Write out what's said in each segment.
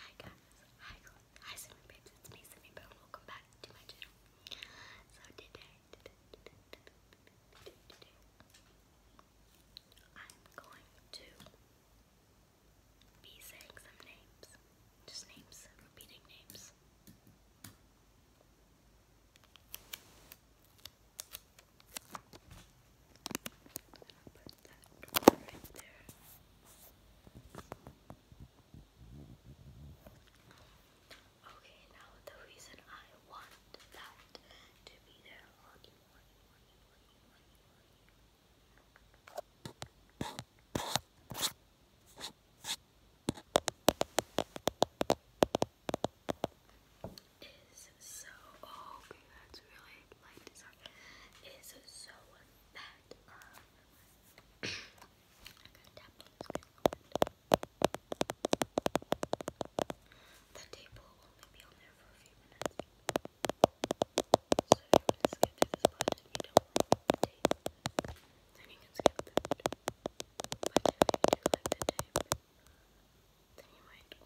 Hi guys, hi hi swimming babes, it's me Simi Bone, welcome back to my channel. So today I'm going to be saying some names, just names, repeating names. I'll Okay, now the reason I want that to be there morning, morning, Is so oh, that's really light, light is so bad. The table will only be on there for a few minutes. So if you skip to this and you don't want the tape, then you can skip that. But if you do like the tape, then you might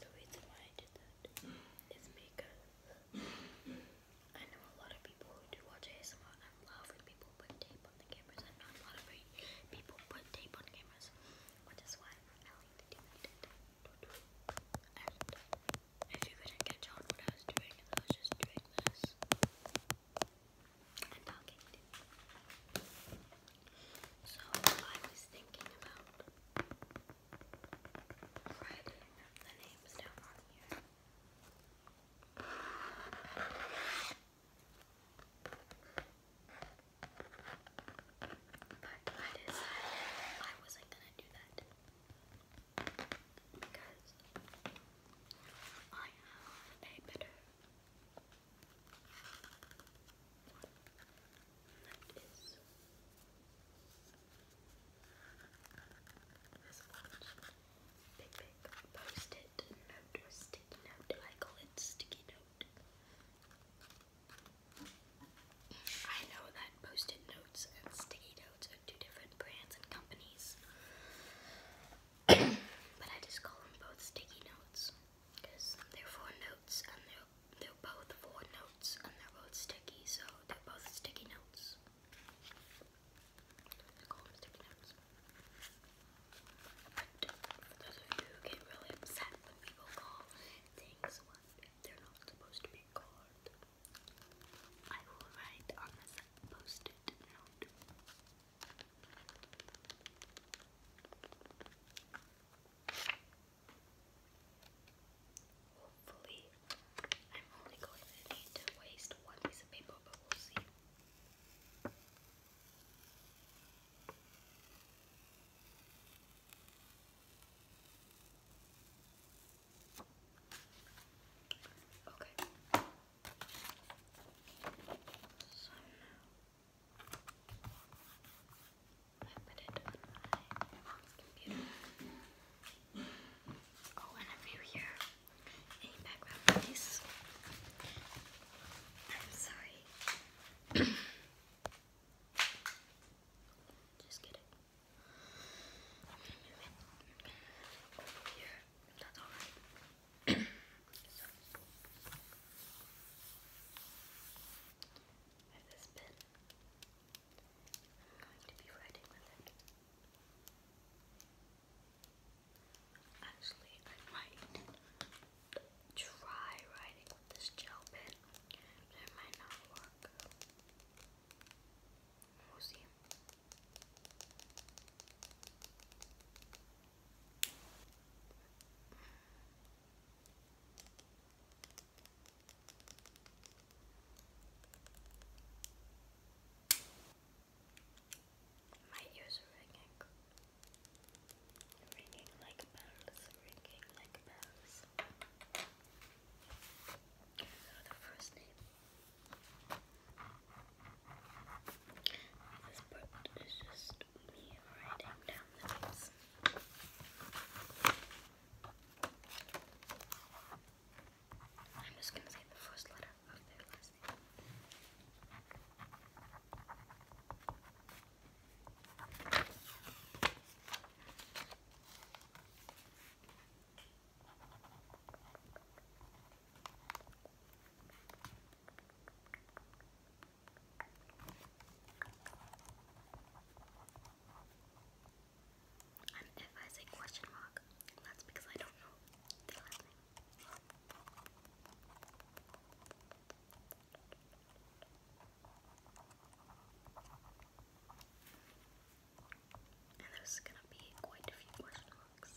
The reason why I did that is because I know a lot of people who do watch ASMR and love when people put tape on the cameras and not a lot of people put tape on cameras, which is why I like to do that. And if you couldn't catch on what I was doing, I was just doing this and talking So I was thinking about writing the But I decided I wasn't gonna do that because I have a better that is this I know that post-it notes and sticky notes are two different brands and companies. but I just call them both sticky notes because they're for notes they're, both four notes and they're both sticky, so they're both sticky notes. They're called sticky notes. those of you who get really upset when people call things what they're not supposed to be called, I will write on this post note. Hopefully, I'm only going to need to waste one piece of paper, but we'll see. Okay. So now I put it on my computer. Oh, and if you hear any background I'm sorry. Just kidding. it here. That's alright. of this pen. I'm going to be writing with it. Actually, I might try writing with this gel pen, it might not work. We'll see. My ears are ringing. Ringing like bells, ringing like bells. the first name this part is just me writing I'm just gonna say the first letter of their last name. And if I say question mark, that's because I don't know And there's gonna be quite a few question marks.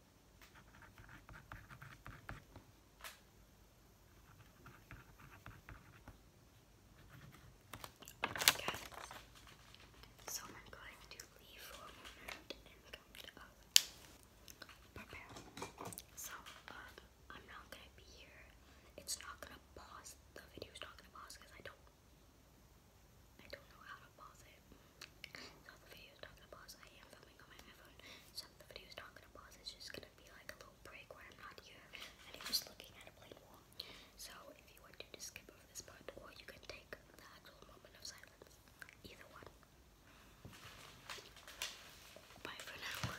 so I'm going to leave for a moment and come to So, um, I'm not gonna be here. It's not gonna pause. The video's not gonna pause because I don't, I don't know how to pause it. So the video not gonna pause. I am filming on my phone, so the video not gonna pause. It's just gonna be like a little break where I'm not here and just looking at a blank wall. So if you want to, just skip over this part, or you can take the actual moment of silence. Either one. Bye for now.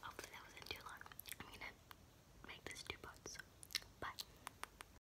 Hopefully that wasn't too long. I'm gonna make this two parts, but